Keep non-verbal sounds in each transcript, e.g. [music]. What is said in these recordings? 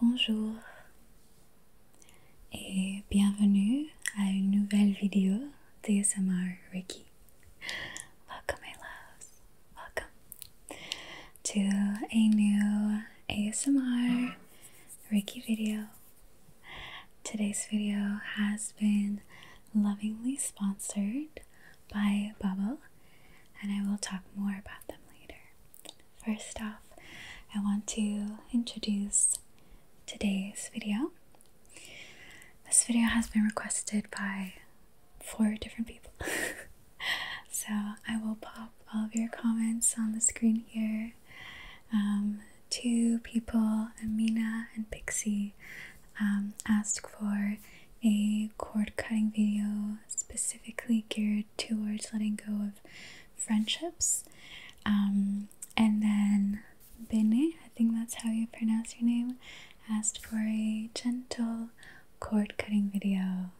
Bonjour et bienvenue à une nouvelle vidéo d'ASMR Ricky. Welcome my loves, welcome to a new ASMR Ricky video. Today's video has been lovingly sponsored by Bubble and I will talk more about them later. First off, I want to introduce today's video. This video has been requested by four different people. [laughs] so I will pop all of your comments on the screen here. Um, two people, Amina and Pixie, um, asked for a cord cutting video specifically geared more towards letting go of friendships. Um, and then Bene, I think that's how you pronounce your name, asked for a gentle cord cutting video.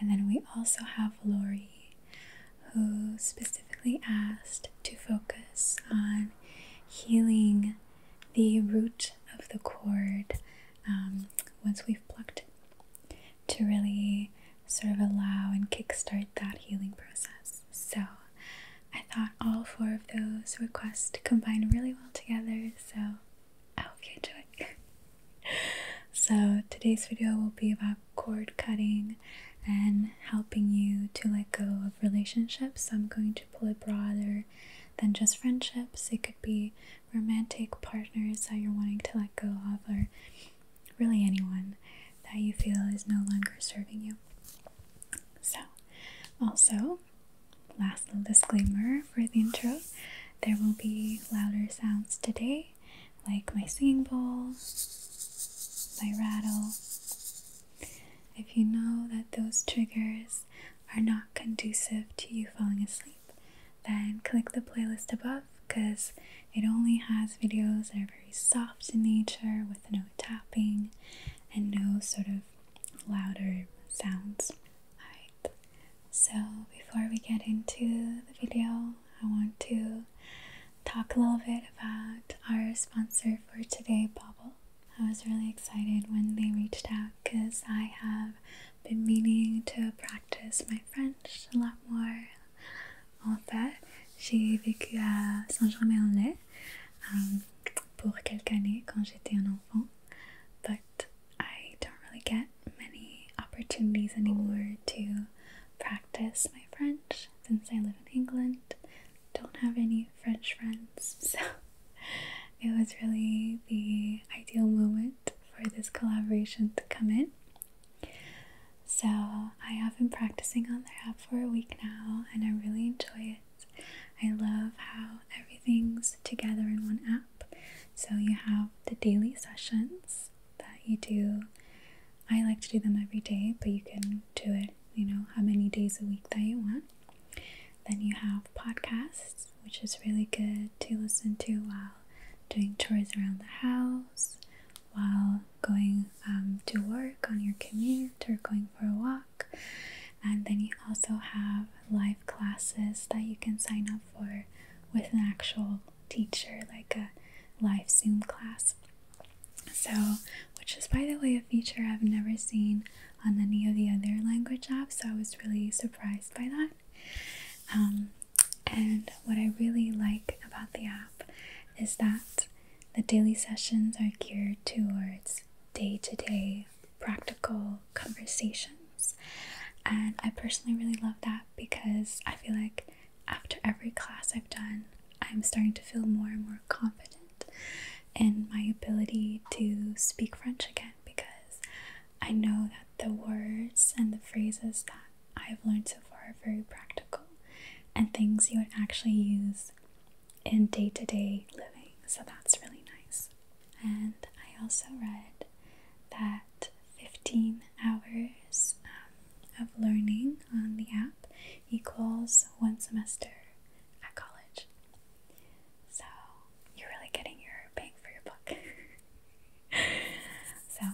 And then we also have Lori, who specifically asked to focus on healing the root of the cord um, once we've plucked it to really sort of allow and kickstart that healing process. So I thought all four of those requests combined really well together. So I hope you enjoy. [laughs] so today's video will be about cord cutting and helping you to let go of relationships. I'm going to pull it broader than just friendships. It could be romantic partners that you're wanting to let go of, or really anyone that you feel is no longer serving you. So, also, last little disclaimer for the intro there will be louder sounds today, like my singing bowl, my rattle. If you know that those triggers are not conducive to you falling asleep, then click the playlist above because it only has videos that are very soft in nature with no tapping and no sort of louder sounds. Alright, so before we get into the video, I want to talk a little bit about our sponsor for today, Bobble. I was really excited when they reached out because I have been meaning to practice my French a lot more. En fait, j'ai vécu à Saint-Germain-en-Laye for a few years when I was a child, but I don't really get many opportunities anymore to practice my French since I live in England. Don't have any French friends, [laughs] so it was really the ideal moment for this collaboration to come in. So, I have been practicing on their app for a week now and I really enjoy it. I love how everything's together in one app. So, you have the daily sessions that you do. I like to do them every day, but you can do it, you know, how many days a week that you want. Then you have podcasts which is really good to listen to while doing chores around the house, while going um, to work on your commute or going for a walk. And then you also have live classes that you can sign up for with an actual teacher, like a live Zoom class. So, which is by the way a feature I've never seen on any of the other language apps, so I was really surprised by that. Um, and what I really like about the app is that the daily sessions are geared towards day to day practical conversations. And I personally really love that because I feel like after every class I've done, I'm starting to feel more and more confident in my ability to speak French again because I know that the words and the phrases that I've learned so far are very practical and things you would actually use in day to day living. So that's really nice. And I also read that 15 hours um, of learning on the app equals one semester at college. So you're really getting your bang for your buck. [laughs] so,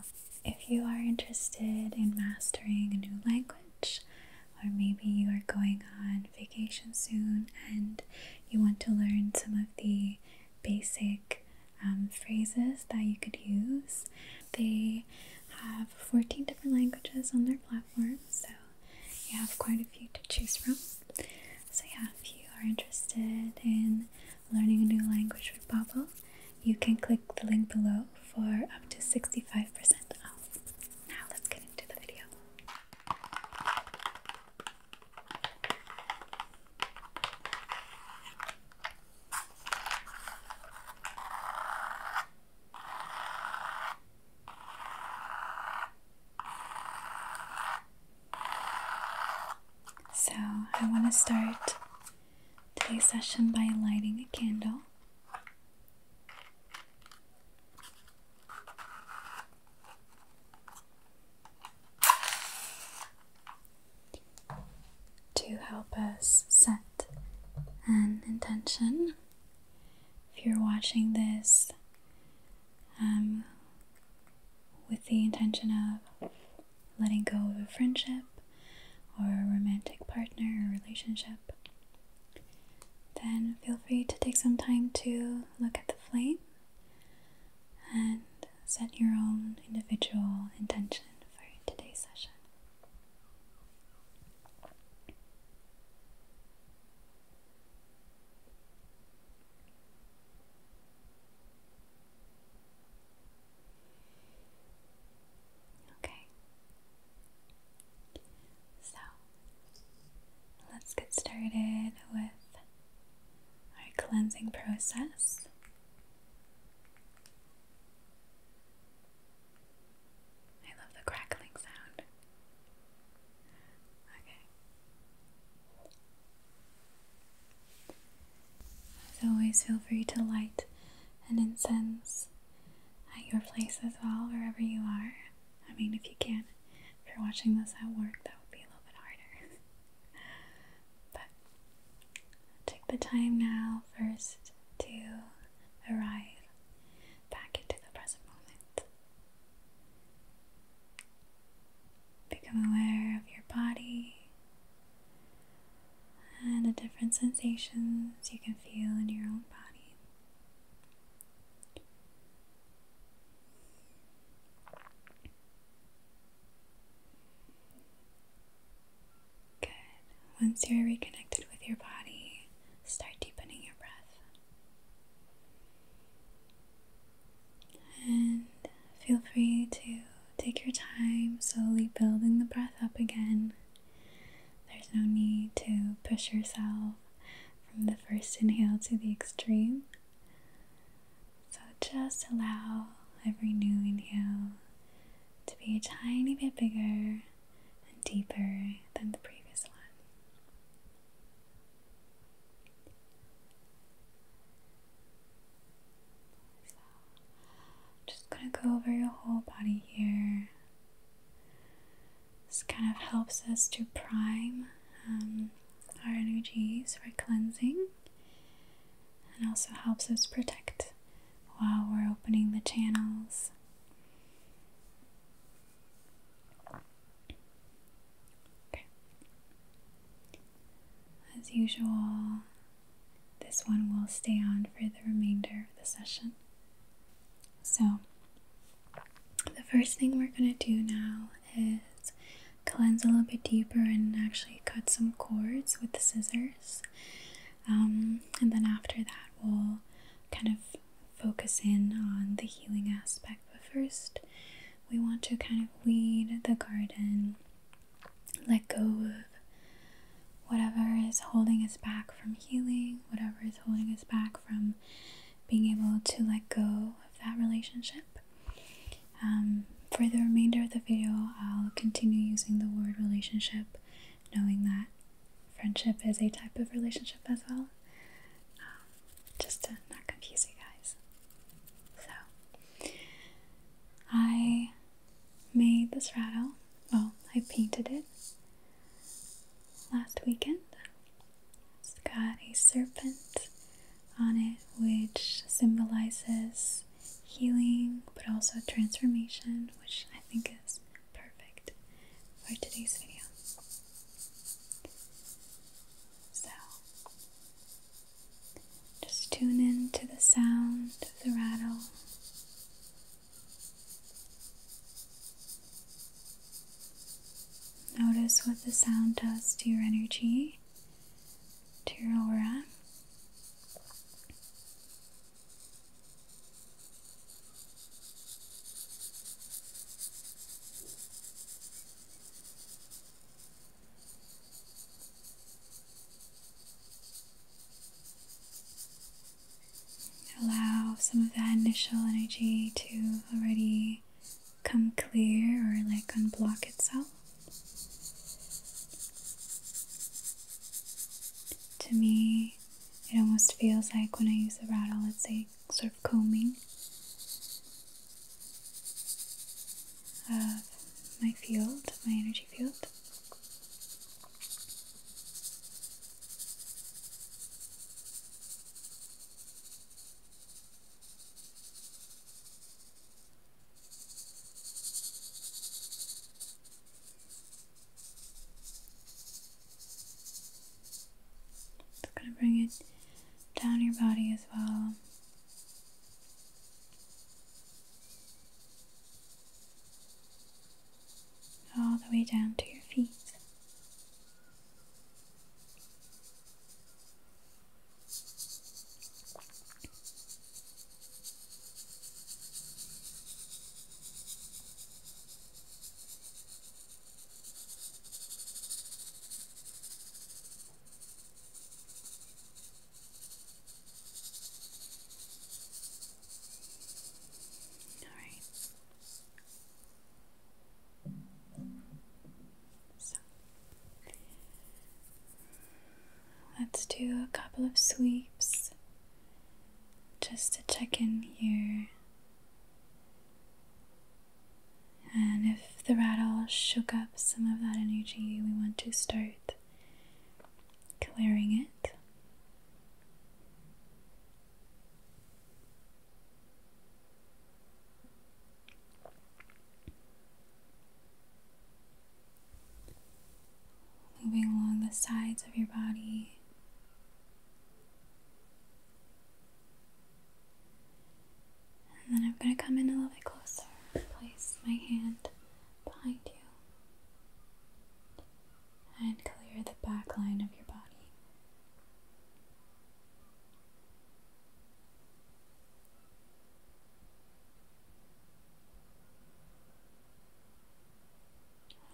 if you are interested in mastering a new language, or maybe you are going on vacation soon and you want to learn some of the basic um, phrases that you could use, they have 14 different languages on their platform, so you have quite a few to choose from. So, yeah, if you are interested in learning a new language with Babbel, you can click the link below for up to 65% off. Now, let's get into the video. So, I want to start today's session by lighting a candle. To help us set an intention. If you're watching this um, with the intention of letting go of a friendship or a romantic partner or relationship, then feel free to take some time to look at the flame and set your own individual intention for today's session. Okay. So let's get started with our cleansing process. I love the crackling sound. Okay. As always, feel free to light an incense at your place as well, wherever you are. I mean, if you can. If you're watching this at work, that would be a little bit harder. [laughs] but take the time now first to arrive back into the present moment. Become aware of your body and the different sensations you can feel in your own body. Good. Once you're reconnected with your body, start deepening your breath. And feel free to take your time slowly building the breath up again. There's no need to push yourself from the first inhale to the extreme. So just allow every new inhale to be a tiny bit bigger and deeper than the previous one just going to go over your whole body here. This kind of helps us to prime um, our energies for cleansing and also helps us protect while we're opening the channels. As usual, this one will stay on for the remainder of the session. So, the first thing we're going to do now is cleanse a little bit deeper and actually cut some cords with the scissors. Um, and then after that, we'll kind of focus in on the healing aspect. But first, we want to kind of weed the garden, let go of whatever is holding us back from healing, whatever is holding us back from being able to let go of that relationship. Um, for the remainder of the video, I'll continue using the word relationship, knowing that friendship is a type of relationship as well. Um, just to not confuse you guys. So, I made this rattle, well, I painted it last weekend. It's got a serpent on it, which symbolizes healing but also transformation, which I think is perfect for today's video. So, just tune in to the sound of the rattle. Notice what the sound does to your energy, to your aura. Allow some of that initial energy to already come clear or like unblock itself. To me, it almost feels like when I use the rattle, it's a sort of combing of my field, my energy field. Just gonna bring it down your body as well. All the way down to your feet. All right. So let's do a couple of sweeps just to check in here and if the rattle shook up some of that energy, we want to start clearing it. Moving along the sides of your body. And then I'm going to come in a little bit closer. Place my hand behind you. And clear the back line of your body.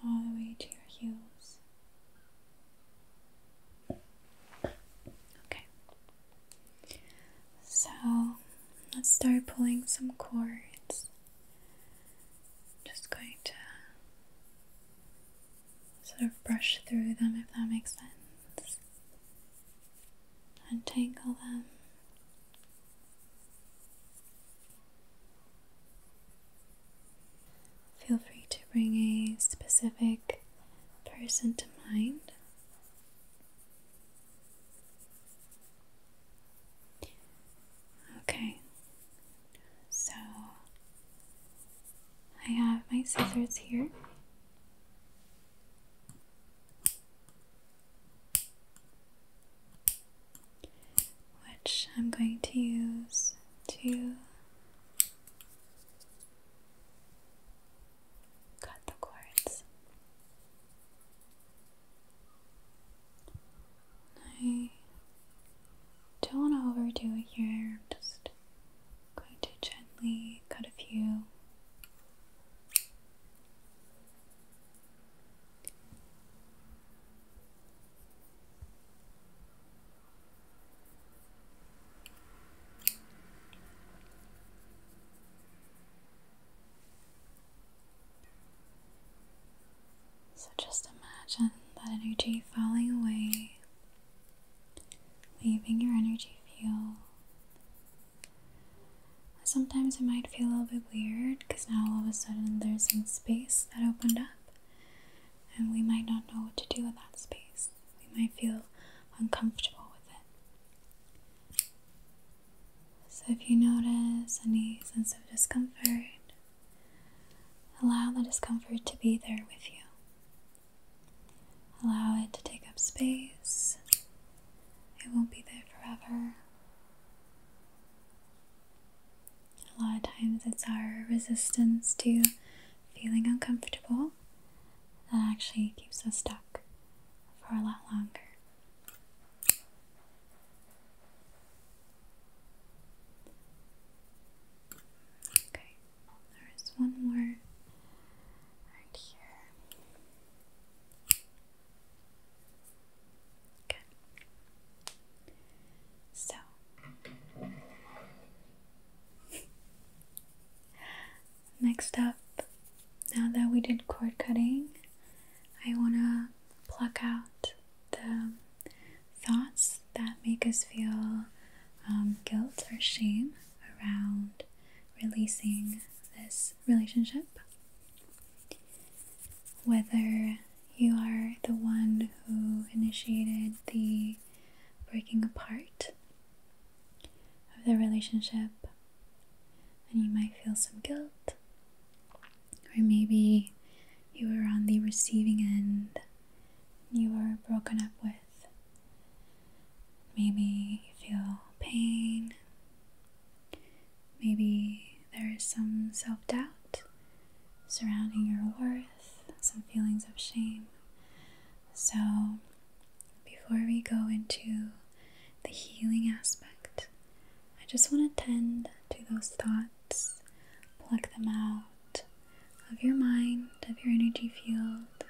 All the way to your heels. Okay. So let's start pulling some cords. just going to sort of brush through them if that makes sense. Untangle them. Feel free to bring a specific person to mind. Okay, so I have my scissors here. Which I'm going to use to Cut the cords. I don't want to overdo it here. I'm just going to gently cut a few. So just imagine that energy falling away, leaving your energy field. Sometimes it might feel a little bit weird because now all of a sudden there's some space that opened up and we might not know what to do with that space. We might feel uncomfortable with it. So, if you notice any sense of discomfort, allow the discomfort to be there with you. Allow it to take up space, it won't be there forever. A lot of times, it's our resistance to feeling uncomfortable, that actually keeps us stuck for a lot longer. Okay, there is one more right here. Good. So, Next up, now that we did cord cutting, I want to pluck out the thoughts that make us feel um, guilt or shame around releasing this relationship. Whether you are the one who initiated the breaking apart of the relationship, and you might feel some guilt, or maybe you were on the receiving end, you were broken up with. Maybe you feel pain. Maybe there is some self doubt surrounding your worth some feelings of shame. So, before we go into the healing aspect, I just want to tend to those thoughts, pluck them out of your mind, of your energy field,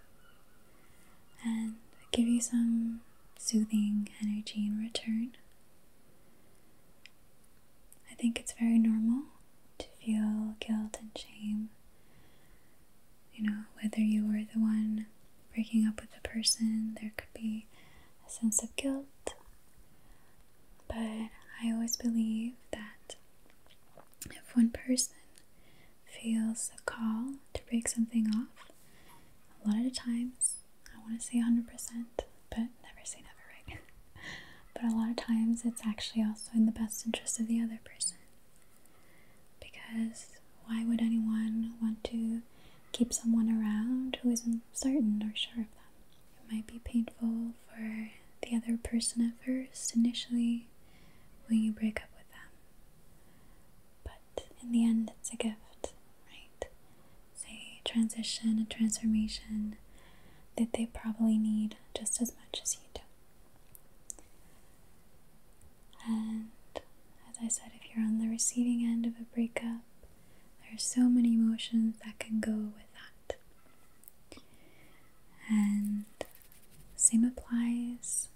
and give you some soothing energy in return. I think it's very normal to feel guilt and shame. You know, whether you were the one breaking up with the person, there could be a sense of guilt. But I always believe that if one person feels a call to break something off, a lot of times, I want to say 100%, but never say never, right? [laughs] but a lot of times it's actually also in the best interest of the other person. Because why would anyone want to keep someone around who isn't certain or sure of them? It might be painful for the other person at first, initially, when you break up with them. But in the end, it's a gift, right? It's a transition, a transformation, that they probably need just as much as you do. And as I said, if you're on the receiving end of a breakup, there are so many emotions that can go with that. And same applies.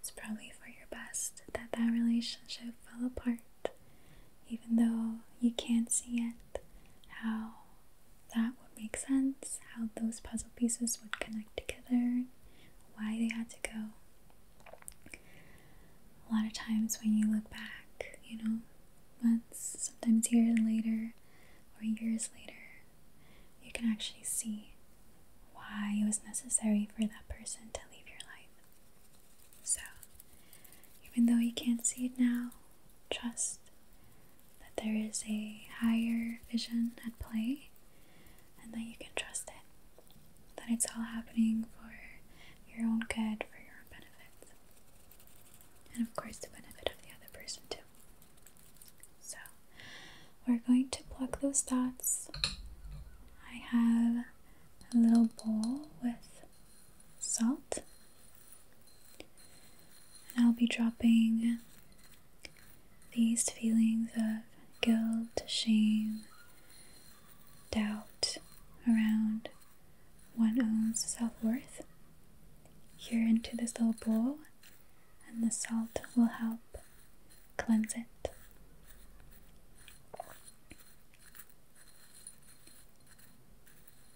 It's probably for your best that that relationship fell apart, even though you can't see it how that would make sense, how those puzzle pieces would connect together, why they had to go. A lot of times when you look back, you know, months, sometimes years later, or years later, you can actually see why it was necessary for that person to leave your life. So, even though you can't see it now, trust that there is a higher vision at play and that you can trust it, that it's all happening for your own good, for your own benefit, and of course, the benefit of the other person, too. So, we're going to pluck those thoughts. I have a little bowl with salt and I'll be dropping these feelings of guilt, shame, doubt around one's self worth here into this little bowl, and the salt will help cleanse it.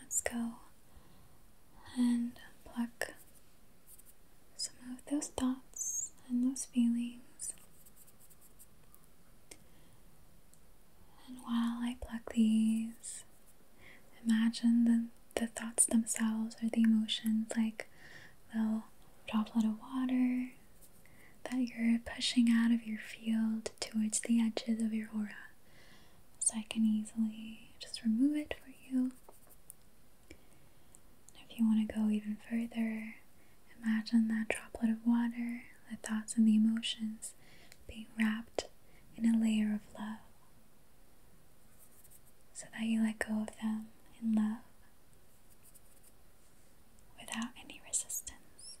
Let's go and pluck some of those thoughts and those feelings. And while I pluck these, imagine the, the thoughts themselves or the emotions like little droplet of water that you're pushing out of your field towards the edges of your aura so I can easily just remove it for you. If you want to go even further, imagine that droplet of water, the thoughts and the emotions being wrapped in a layer of love so that you let go of them in love without any resistance.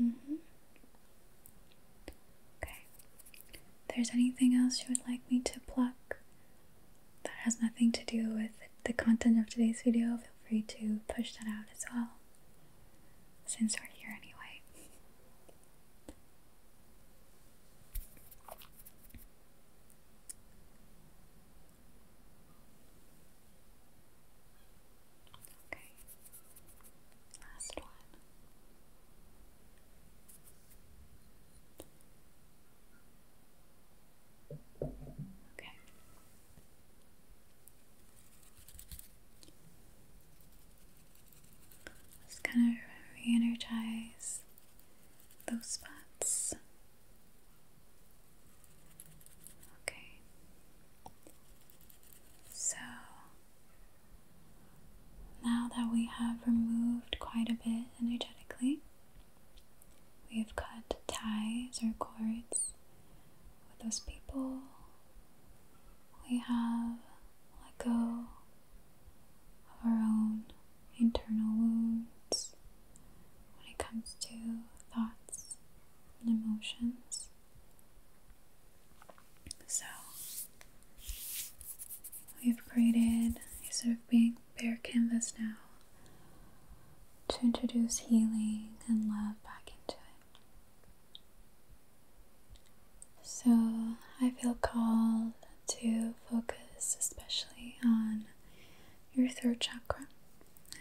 Mm -hmm. Okay. If there's anything else you would like me to pluck that has nothing to do with the content of today's video, feel free to push that out as well, since we're here anyway. Okay. Last one. Okay. Just kind of re those spots Okay. So now that we have removed quite a bit energetically, we have cut ties or cords with those people. We have let go of our own internal wounds when it comes to thoughts and emotions. So we've created a sort of being bare canvas now to introduce healing and love back into it. So I feel called to focus especially on your throat chakra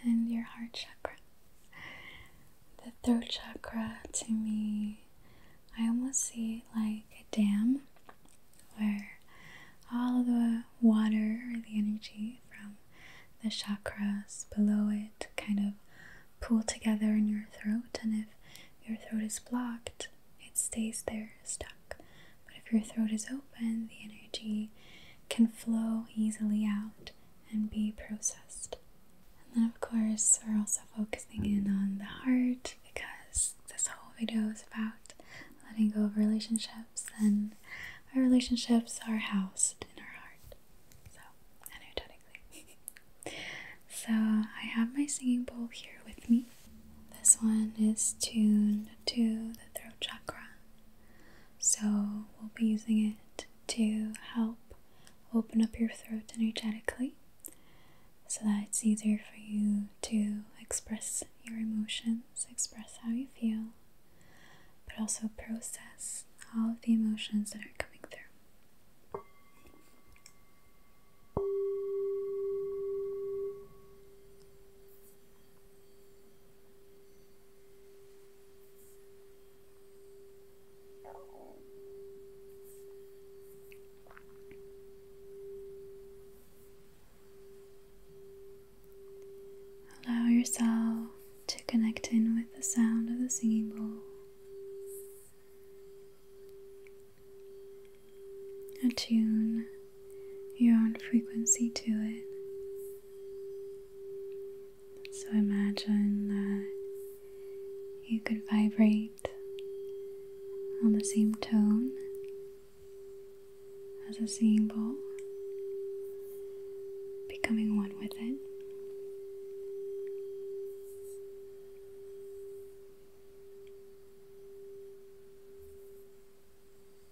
and your heart chakra. The throat chakra to me, I almost see like a dam where all the water or the energy from the chakras below it kind of pool together in your throat. And if your throat is blocked, it stays there stuck. But if your throat is open, the energy can flow easily out and be processed. And then, of course, we're also focusing in on the heart because this whole video is about letting go of relationships, and our relationships are housed in our heart. So, energetically. [laughs] so, I have my singing bowl here with me. This one is tuned to the throat chakra, so we'll be using it to help open up your throat energetically so that it's easier for you to express your emotions, express how you feel, but also process all of the emotions that are coming through. Allow yourself to connect in with the sound of the singing bowl. Attune your own frequency to it. So imagine that you could vibrate on the same tone as a singing bowl, becoming one with it.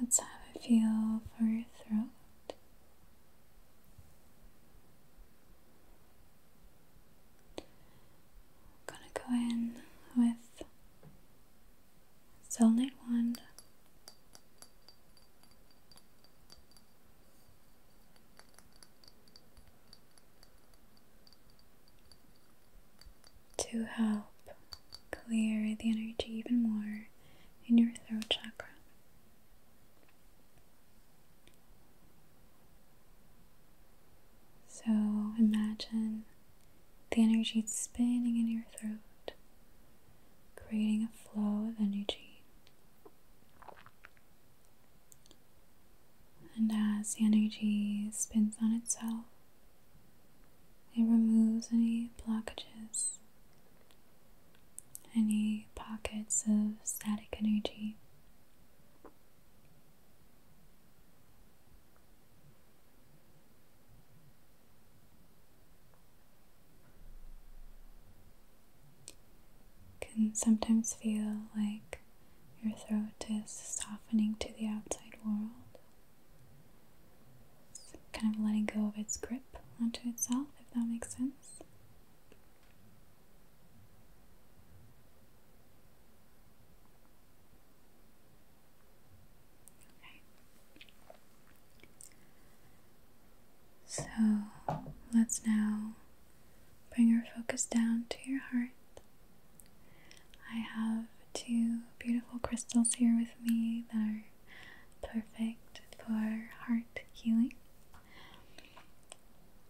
Let's have a feel for your throat. gonna go in with a solid to help clear the energy even more in your throat chakra. So imagine the energy spinning in your throat creating a flow of energy. And as the energy spins on itself, it removes any blockages, any pockets of static energy. Can sometimes feel like your throat is softening to the outside world. kind of letting go of its grip onto itself, if that makes sense. So let's now bring our focus down to your heart. I have two beautiful crystals here with me that are perfect for heart healing.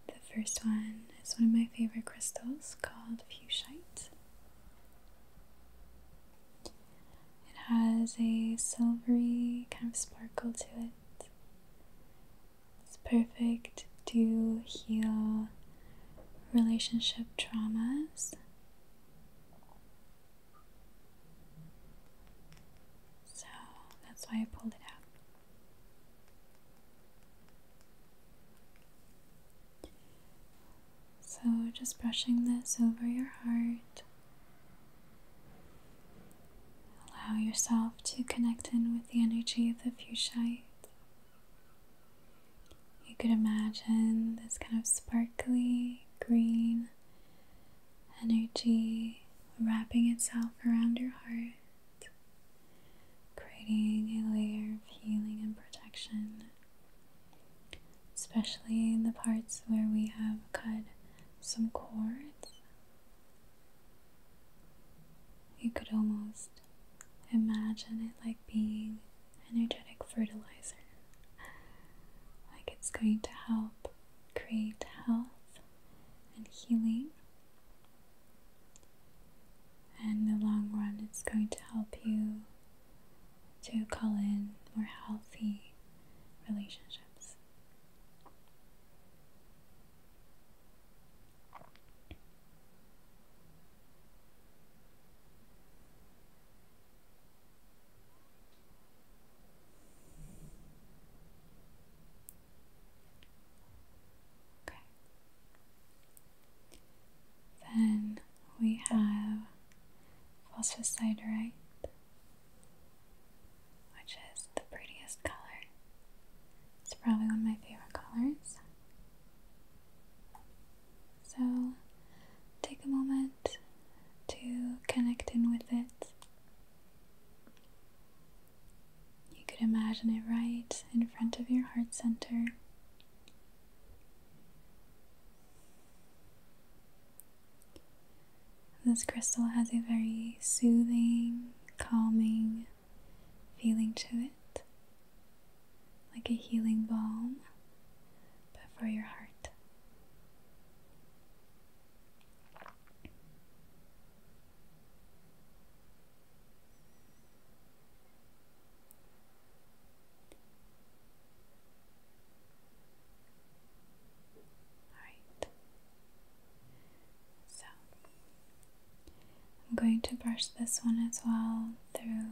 The first one is one of my favorite crystals called fuchsite. It has a silvery kind of sparkle to it. It's perfect to heal relationship traumas. So that's why I pulled it out. So, just brushing this over your heart Allow yourself to connect in with the energy of the fuchsite. You could imagine this kind of sparkly green energy wrapping itself around your heart, creating a layer of healing and protection, especially in the parts where we have cut some chords. You could almost imagine it like being energetic fertilizer. Like it's going to help create health and healing. And in the long run, it's going to help you to call in more healthy relationships. Then we have phosphosiderite, which is the prettiest color. It's probably one of my favorite colors. So take a moment to connect in with it. You could imagine it right in front of your heart center. This crystal has a very soothing, calming feeling to it, like a healing balm, but for your heart. Alright. So, I'm going to brush this one as well through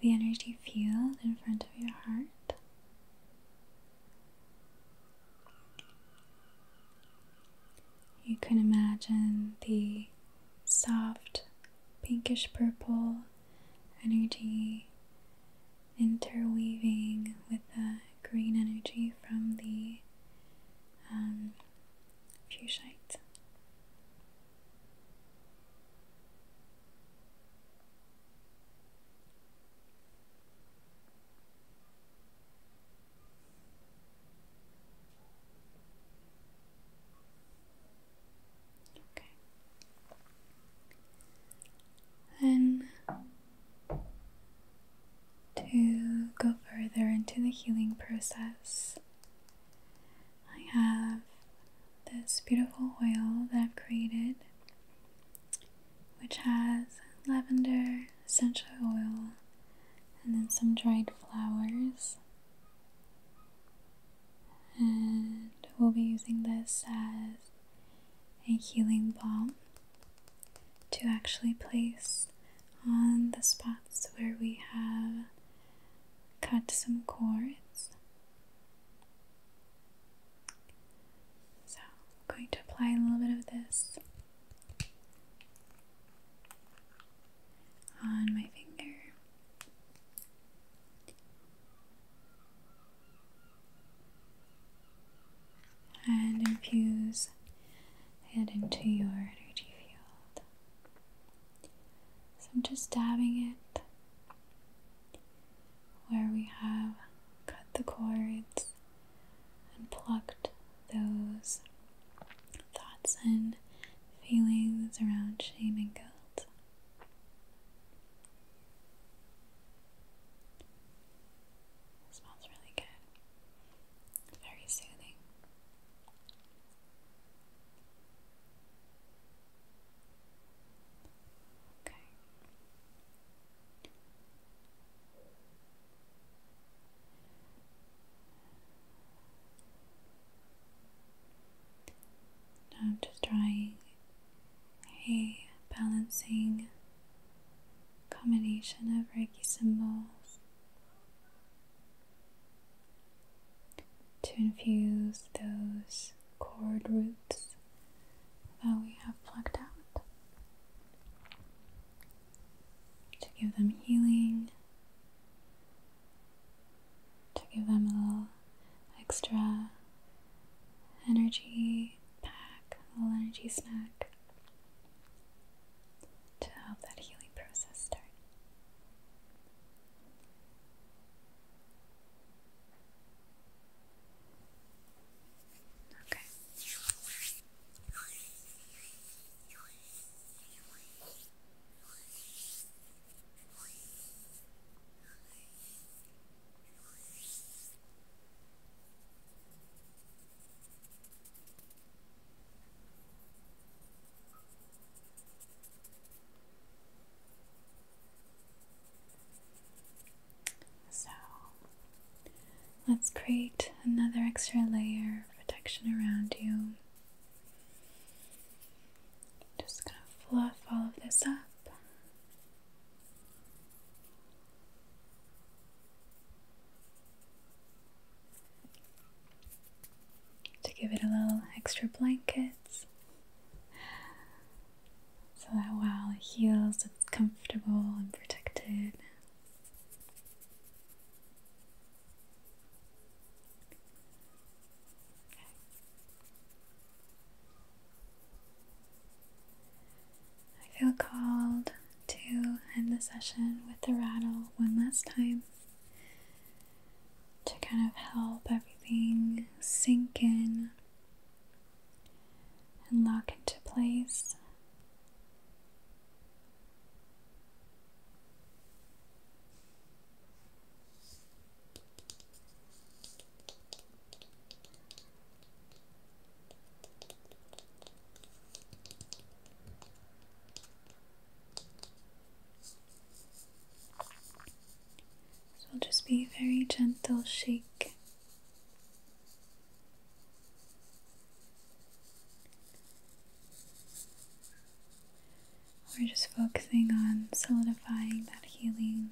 the energy field in front of your heart. You can imagine the soft pinkish purple energy interweaving with the green energy from the um, Okay. Then to go further into the healing process, I have this beautiful oil that I've created, which has lavender, essential oil, and then some dried flowers and we'll be using this as a healing balm to actually place on the spots where we have cut some cords. So, I'm going to apply a little bit of this on my finger and infuse it into your energy field. So I'm just dabbing it where we have cut the cords and plucked those thoughts and feelings around shame and guilt. It smells really good. Very soothing. Okay. I'm just trying a balancing combination of Reiki symbols to infuse those chord roots that we have plucked out to give them healing, to give them a extra energy pack, a little energy snack to help that healing process start. Okay. So let's create another extra layer of protection around you. Just gonna fluff all of this up. To give it a little extra blankets so that while it heals, it's comfortable and protected. I feel called to end the session with the rattle one last time to kind of help everything sink in and lock into place. So it'll just be a very gentle shake. We're just focusing on solidifying that healing,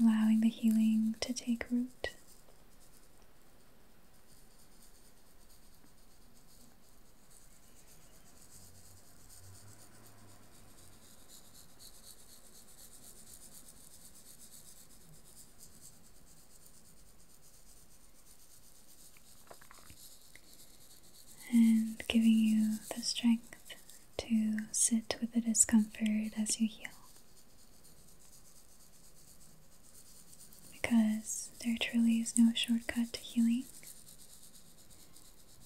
allowing the healing to take root and giving you the strength to sit with the discomfort as you heal. Because there truly is no shortcut to healing.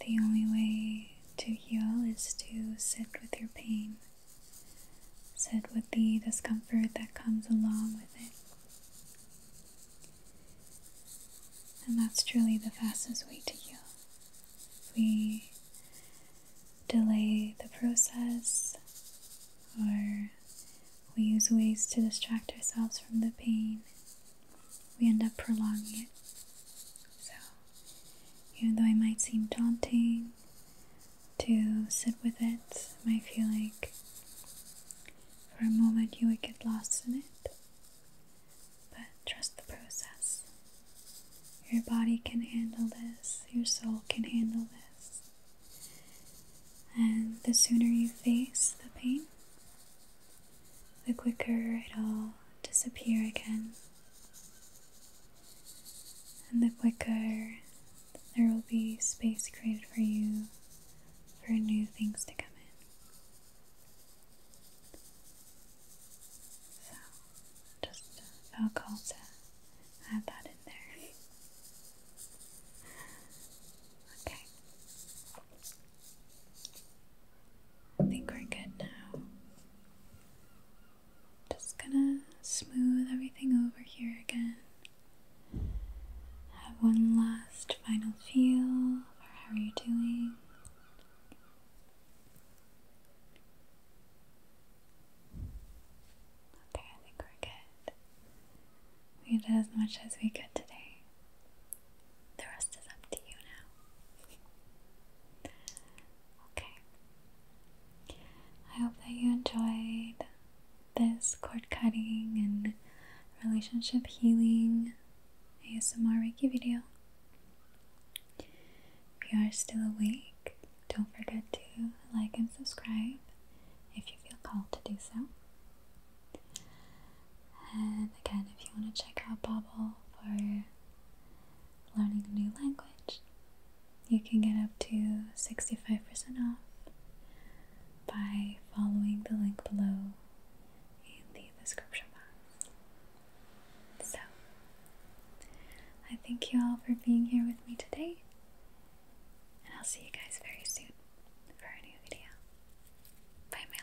The only way to heal is to sit with your pain, sit with the discomfort that comes along with it. And that's truly the fastest way to heal. We delay the process or we use ways to distract ourselves from the pain, we end up prolonging it. So, even though it might seem daunting to sit with it might feel like for a moment you would get lost in it. But trust the process. Your body can handle this, your soul can handle this. And the sooner you face the pain, the quicker it'll disappear again. And the quicker there will be space created for you for new things to come in. So, just felt uh, called to add that in there. Okay. I think we're good now. Just gonna smooth everything over here again. Have one last final feel for how you doing. Okay, I think we're good. We did as much as we could today. The rest is up to you now. okay. I hope that you enjoyed this cord cutting and relationship healing ASMR Reiki video. If you are still awake, don't forget to like and subscribe if you feel called to do so. And again, if you want to check out Bobble for learning a new language, you can get up to 65% off by following the link below in the description box. So, I thank you all for being here with me today, and I'll see you guys very soon for a new video. Bye, my